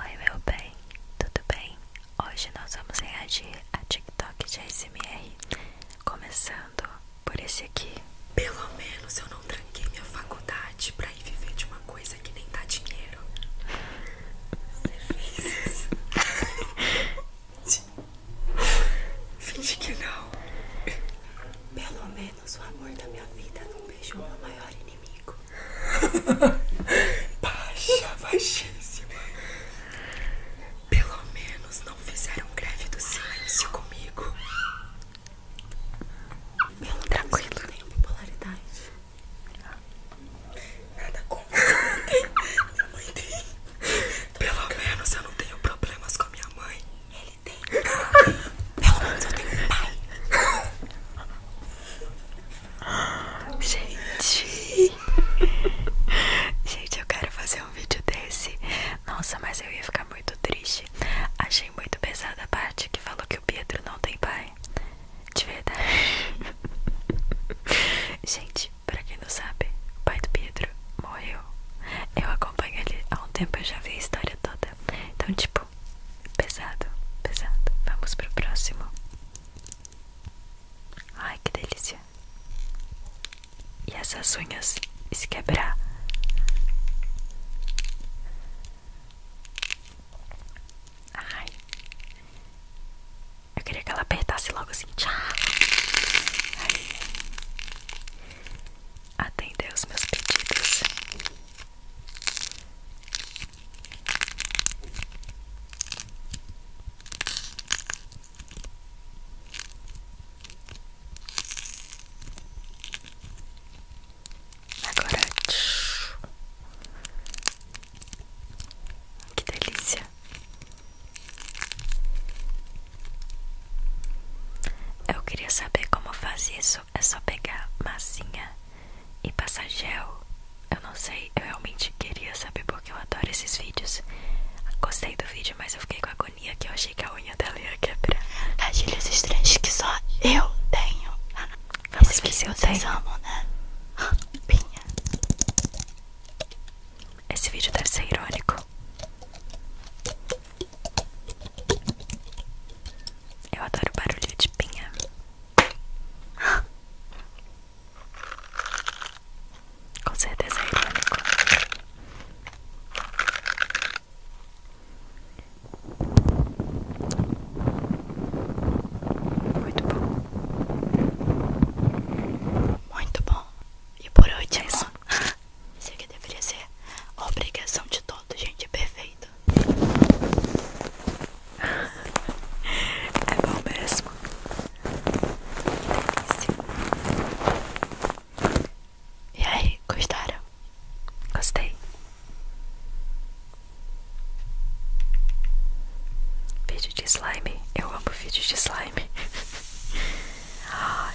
Oi meu bem, tudo bem? Hoje nós vamos reagir a TikTok de ASMR Começando por esse aqui Pelo menos eu não tranquei minha faculdade pra ir viver de uma coisa que nem dá dinheiro Você fez isso? Finge que não Pelo menos menos o amor da minha vida num beijo meu maior inimigo. Baixa, baixíssima. Pelo menos não fizeram greve do silêncio comigo. Pelo Tranquilo. menos eu tenho popularidade. Nada contra. Minha mãe tem. Pelo menos eu não tenho problemas com a minha mãe. Ele tem. Pelo menos eu tenho pai. Gente. Gente, eu quero fazer um vídeo desse. Nossa, mas eu ia ficar muito triste. Achei muito pesada a parte que falou que o Pedro não tem pai. De verdade. Gente, pra quem não sabe, o pai do Pedro morreu. Eu acompanho ele há um tempo, eu já vi a história toda. Então, tipo, Pesado, pesado. Vamos pro próximo. Ai, que delícia. E essas unhas se quebrar. Ai. Eu queria que ela apertasse logo assim. Tchau. Ai. Atender os meus pedidos. Agora, que delícia! Eu queria saber como fazia isso é só pegar massinha e passar gel. Eu não sei, eu realmente queria saber porque eu adoro esses vídeos. Gostei do vídeo, mas eu fiquei com agonia que eu achei que a unha dela ia quebrar. Agilhas estranhas que só eu tenho. Vamos Esse ver se vocês tenho. amam, né? Pinha. Esse vídeo deve ser irônico. Eu adoro barulho de pinha. Com certeza é irônico. Muito bom. Muito bom. E por hoje é, é isso. Isso aqui deveria ser obrigação de todo, gente. Perfeito. É bom mesmo. delícia. E aí, gostaram? Gostei. Vídeo de slime. Eu amo vídeo de slime. Ai.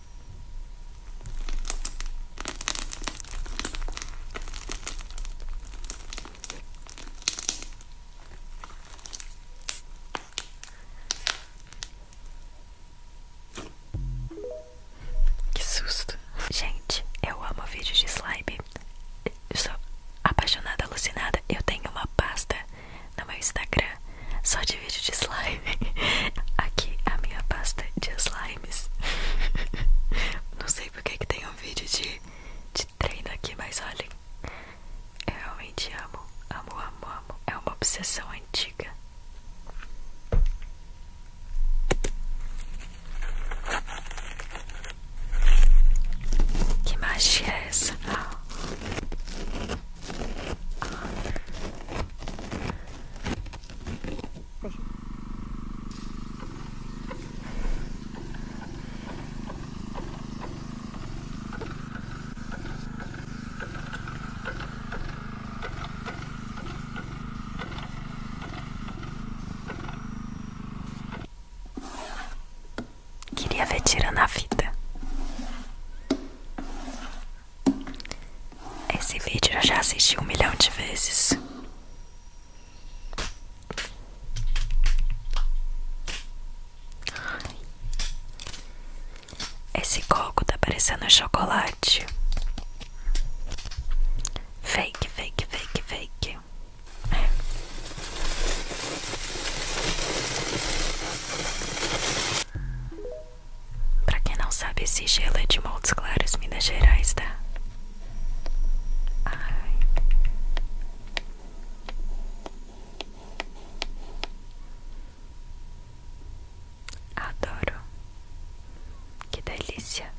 Que susto. Gente, eu amo vídeos de slime. sou apaixonada, alucinada. Eu tenho uma pasta no meu Instagram só de vídeo de slime. Aqui a minha pasta de slime. Não sei porque que tem um vídeo de, de treino aqui, mas olhem. Eu realmente amo, amo, amo, amo. É uma obsessão antiga. Que magia é essa? Ah. Ah. Queria ver tira na vida. Esse vídeo eu já assisti um milhão de vezes. Esse coco tá parecendo chocolate. Fake, fake, fake, fake. Pra quem não sabe, esse gelo é de Montes Claros, Minas Gerais, tá? Adoro. Que delícia.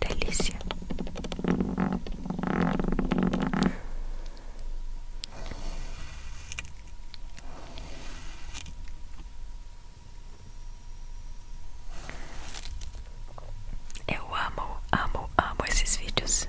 Delícia. Eu amo, amo, amo esses vídeos.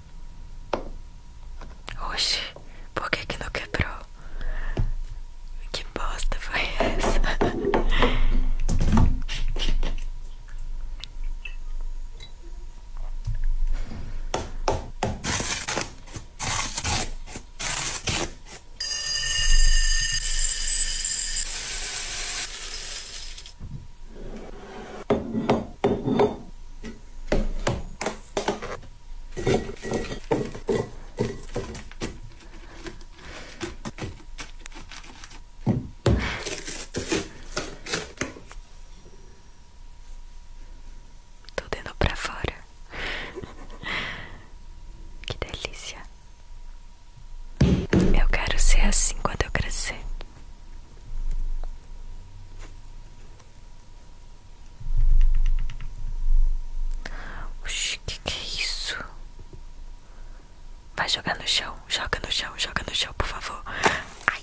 Oxe, por que que não quebrou? Que bosta foi essa? Tô dando pra fora. que delícia. Eu quero ser assim quando eu crescer. Oxi, que que é isso? Vai jogar no chão, joga no chão, joga no chão, por favor. Ai.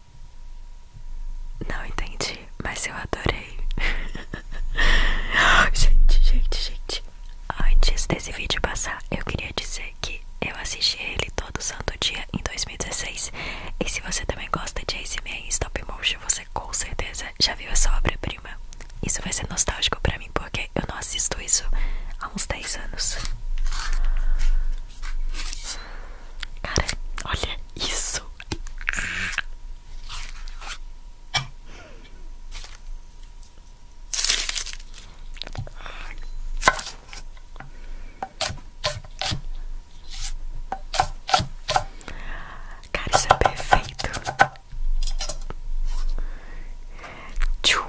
Não entendi, mas eu adorei. gente, gente, gente. Antes desse vídeo passar, eu queria dizer que eu assisti ele todo santo dia em 2016. E se você também gosta de ASMR Stop Motion, você com certeza já viu essa obra-prima. Isso vai ser nostálgico pra mim, porque eu não assisto isso há uns 10 anos. Cara, olha isso. Cara, isso é perfeito. Tchum.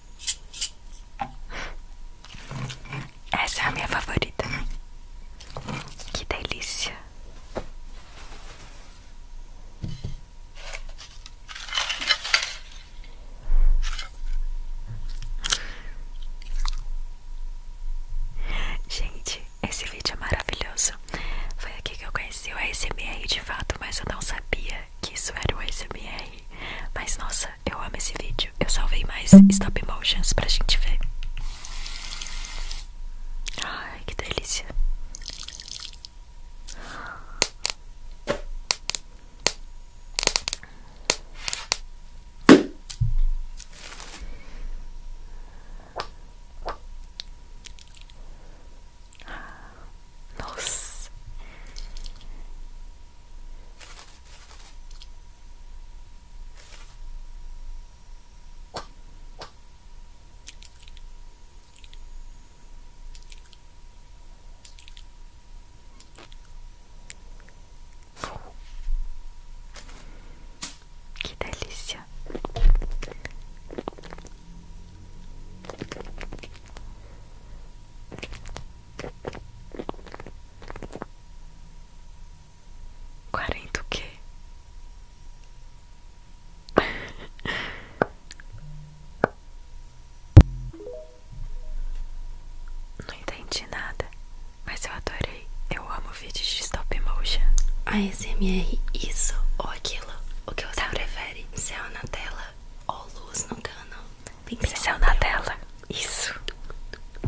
Essa é a minha favorita. Que delícia. Gente, esse vídeo é maravilhoso. Foi aqui que eu conheci o ASMR de fato, mas eu não sabia que isso era o ASMR. Mas nossa, eu amo esse vídeo. Eu salvei mais stop motions pra gente ver. Ai, que delícia. Nossa. Que delícia. Quarenta o quê? Não entendi nada, mas eu adorei. Eu amo vídeos de stop motion. A SMR isso ou aquilo? O que você tá. prefere? Céu na tela ou luz no cano? pincel na tela. Isso.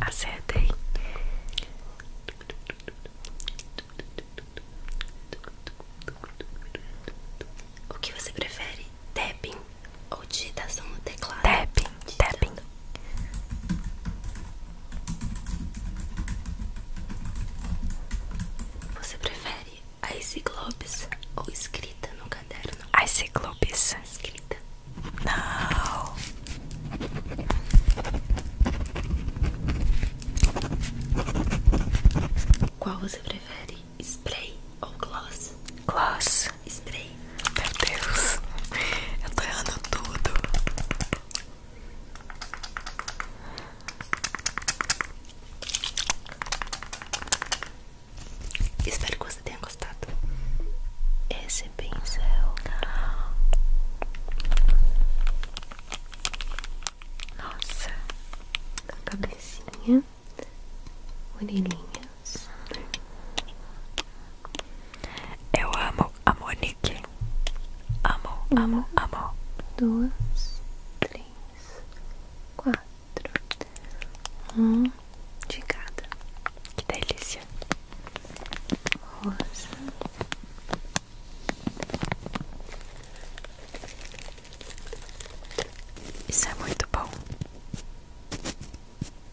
Acertei. O que você prefere? Tapping ou digitação no teclado? Tapping, tapping. Você prefere a Globes ou escrita no caderno? A Globes. Escrita. Não. Qual você prefere? Spray ou gloss? Gloss. Spray. Meu Deus. Eu tô errando tudo. Espero que você tenha gostado. Esse pincel. Nossa, a cabecinha, orelhinhas. Eu amo a Monique. Amo, amo, amo. Duas, três quatro, um de cada. Que delícia! Isso é muito bom.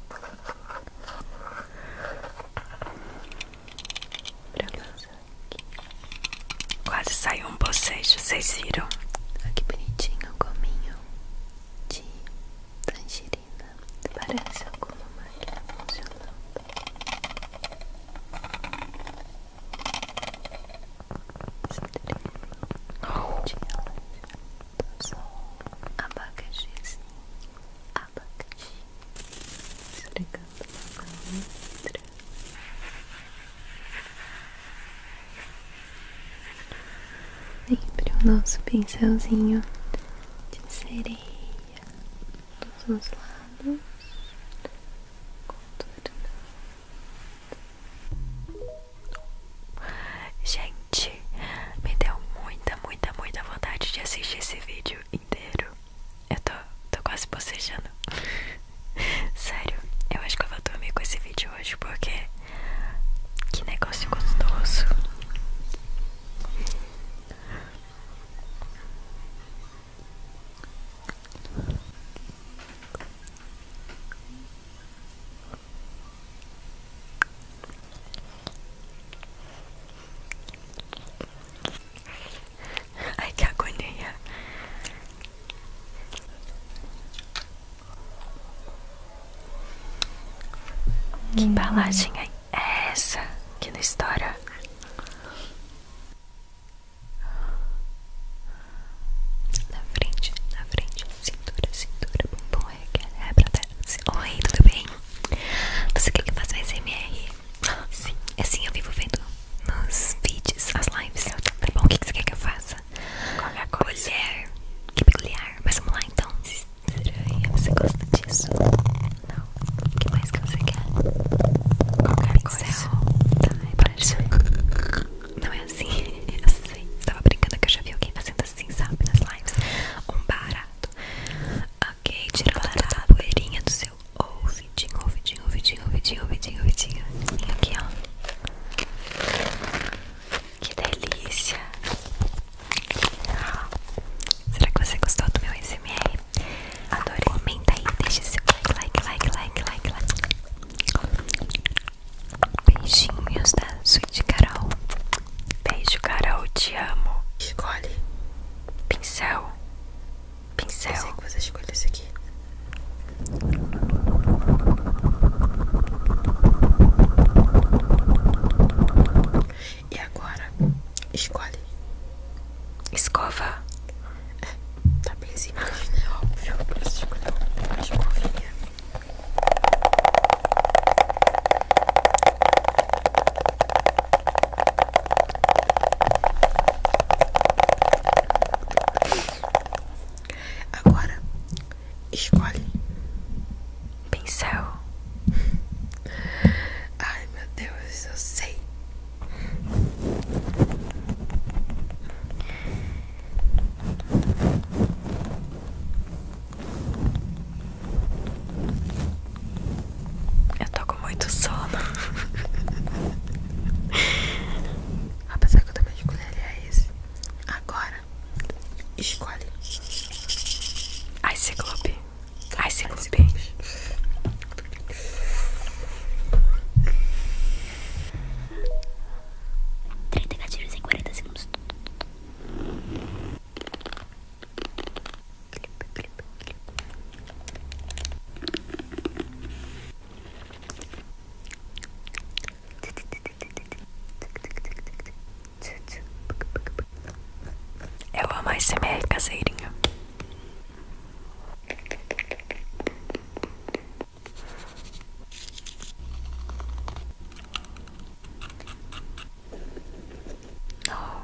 Pra Quase saiu um vocês viram? Olha que bonitinho o gominho de tangerina. Parece alguma máquina funcionando. Oh. Abacaxizinho, abacaxi, esfregando na letra. Sempre o nosso pincelzinho de sereia dos os lados, Gente, me deu muita, muita, muita vontade de assistir esse vídeo inteiro. Eu tô, tô quase bocejando. Sério, eu acho que eu vou dormir com esse vídeo hoje porque que negócio gostoso. Ai que agonia que embalagem é essa que não estoura? Na frente, na frente, cintura, cintura, bom, é, é, é pra terra. Oi, tudo bem? Você quer que eu faça um SMR? Sim. Assim eu vivo vendo nos vídeos, as lives. Tá bom, o que você quer que eu faça? Qualquer coisa. Que peculiar. Mas vamos lá então. Estranha. Você gosta disso? Não. O que mais que você quer? Qualquer Pincel. coisa. Tá, é Não é assim. Eu sei. Tava brincando que eu já vi alguém fazendo assim, sabe? Nas lives. Um barato. Ok, tira a poeirinha do seu ouvido ouvidinho, ouvidinho, ouvidinho, ouvidinho, ouvidinho, ouvidinho. Aqui, ó. Que delícia. Será que você gostou do meu SMR? Adorei. Comenta aí, deixa seu like, like, like, like, like, like. Beijinhos da Sweet Carol. Beijo, Carol, te amo. Escolhe pincel pincel. você escolhe esse aqui. E agora, escolhe escova. É, tá bem simples, é Óbvio, pra escolher uma escovinha. Agora, escolhe pincel. Ai meu Deus, eu sei. Eu tô com muito sono. Apesar que eu também é esse. Agora, escolhe. Ice Club. Ice Club. Trinta gatos em 40 segundos. Eu amo a SMR caseirinha. Não.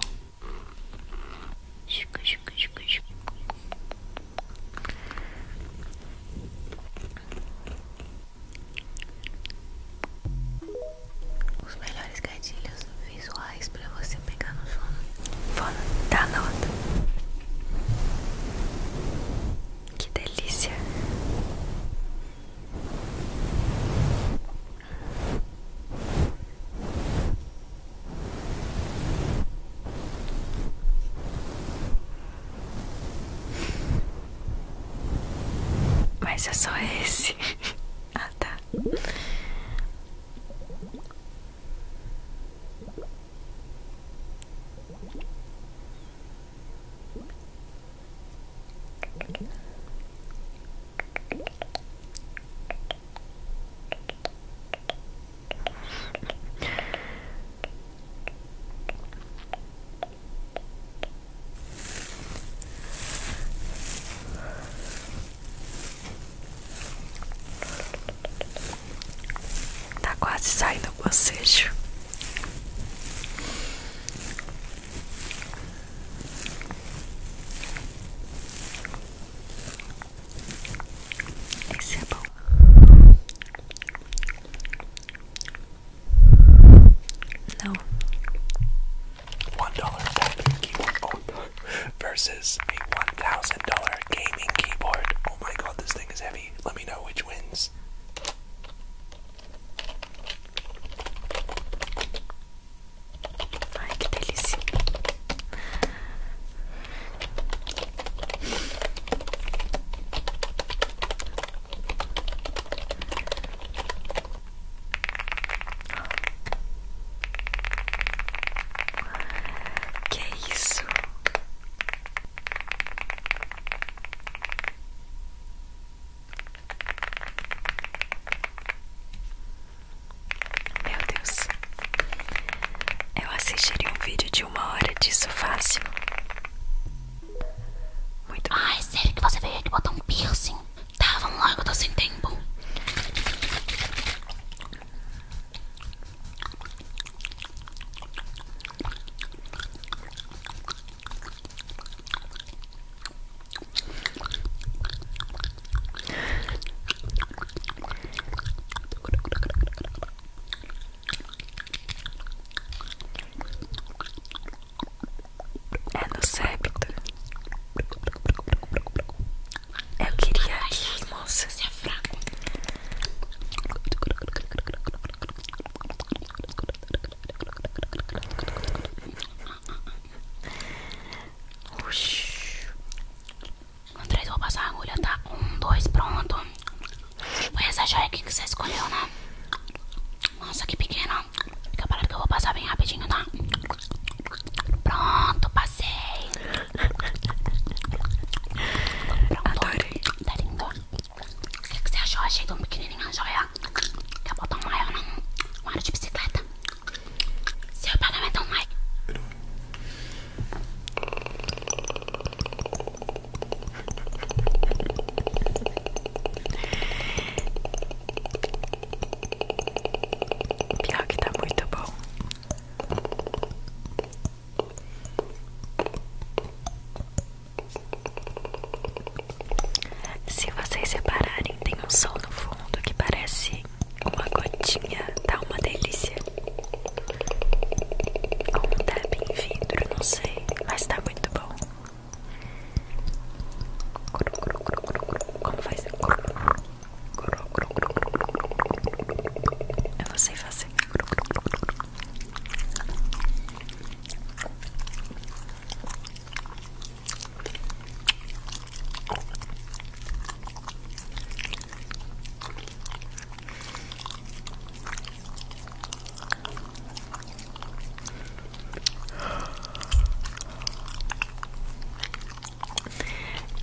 Chico, chico, chico, chico. Os melhores gatilhos visuais para você pegar no sono. Foda, dá nota. Que delícia. Mas é só esse. ah, tá. Tá quase saindo o bocejo. Example No. One dollar tapping keyboard oh, versus a one thousand dollar gaming keyboard. Oh my god, this thing is heavy. Let me know which wins. Ay, Que é isso? Meu Deus, eu assistiria um vídeo de uma hora disso fácil. Muito Ai, sério que você veio aqui botar um piercing? tava tá, logo lá que tô sem tempo. É no septo. Eu queria que moça se é fraco. Oxi. Com três vou passar a agulha, tá? Um, dois, pronto. Foi essa joia aqui que você escolheu, né? Nossa, que pequena. Fica parado que eu vou passar bem rapidinho, tá? Pronto, passei. Pronto. Tá lindo. O que, que você achou? Achei tão pequenininha a joia. Quer botar um maior, não? Um aro de bicicleta. Seu pagamento é online. Pior que tá muito bom. Se vocês separarem, tem um som no fundo que parece uma gotinha, tá uma delícia. Ou um tap em vidro, não sei, mas tá muito bom. Como faz? Eu não sei fazer.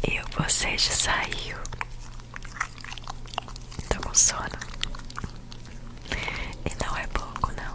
E você já saiu? Tô com sono. E não é pouco, não.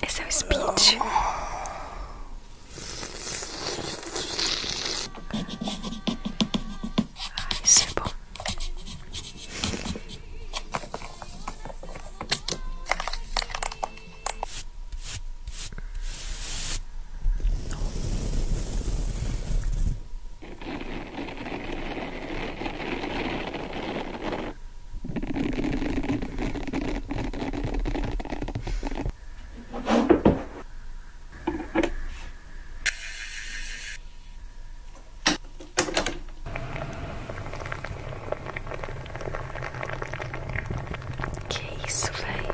Esse é o speed. Ah, isso é bom. Que isso, velho?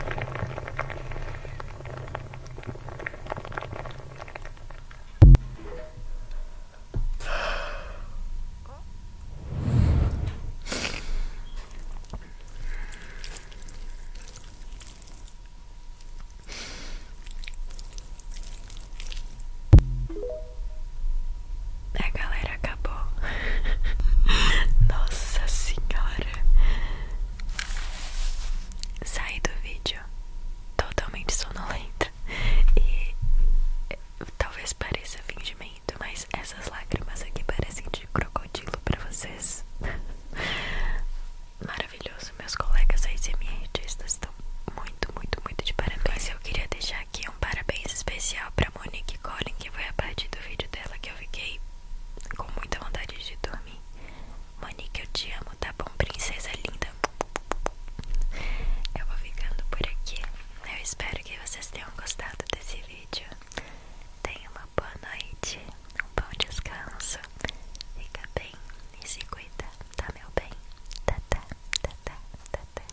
A galera acabou. Nossa senhora saí do vídeo totalmente sonolenta e eh, talvez pareça fingimento, mas essas lágrimas aqui parecem de crocodilo para vocês. Maravilhoso, meus colegas aí ASMR estão muito, muito, muito de parabéns. Eu queria deixar aqui um parabéns especial pra Monique Collin, que foi a partir do vídeo dela que eu fiquei com muita vontade de dormir nome. Monique, eu te amo, tá bom, princesa linda? Eu vou ficando por aqui. Eu espero que vocês tenham gostado desse vídeo. Tenha uma boa noite, um bom descanso. Fica bem e se cuida, tá, meu bem? Tá, tá, tá, tá, tá, tá.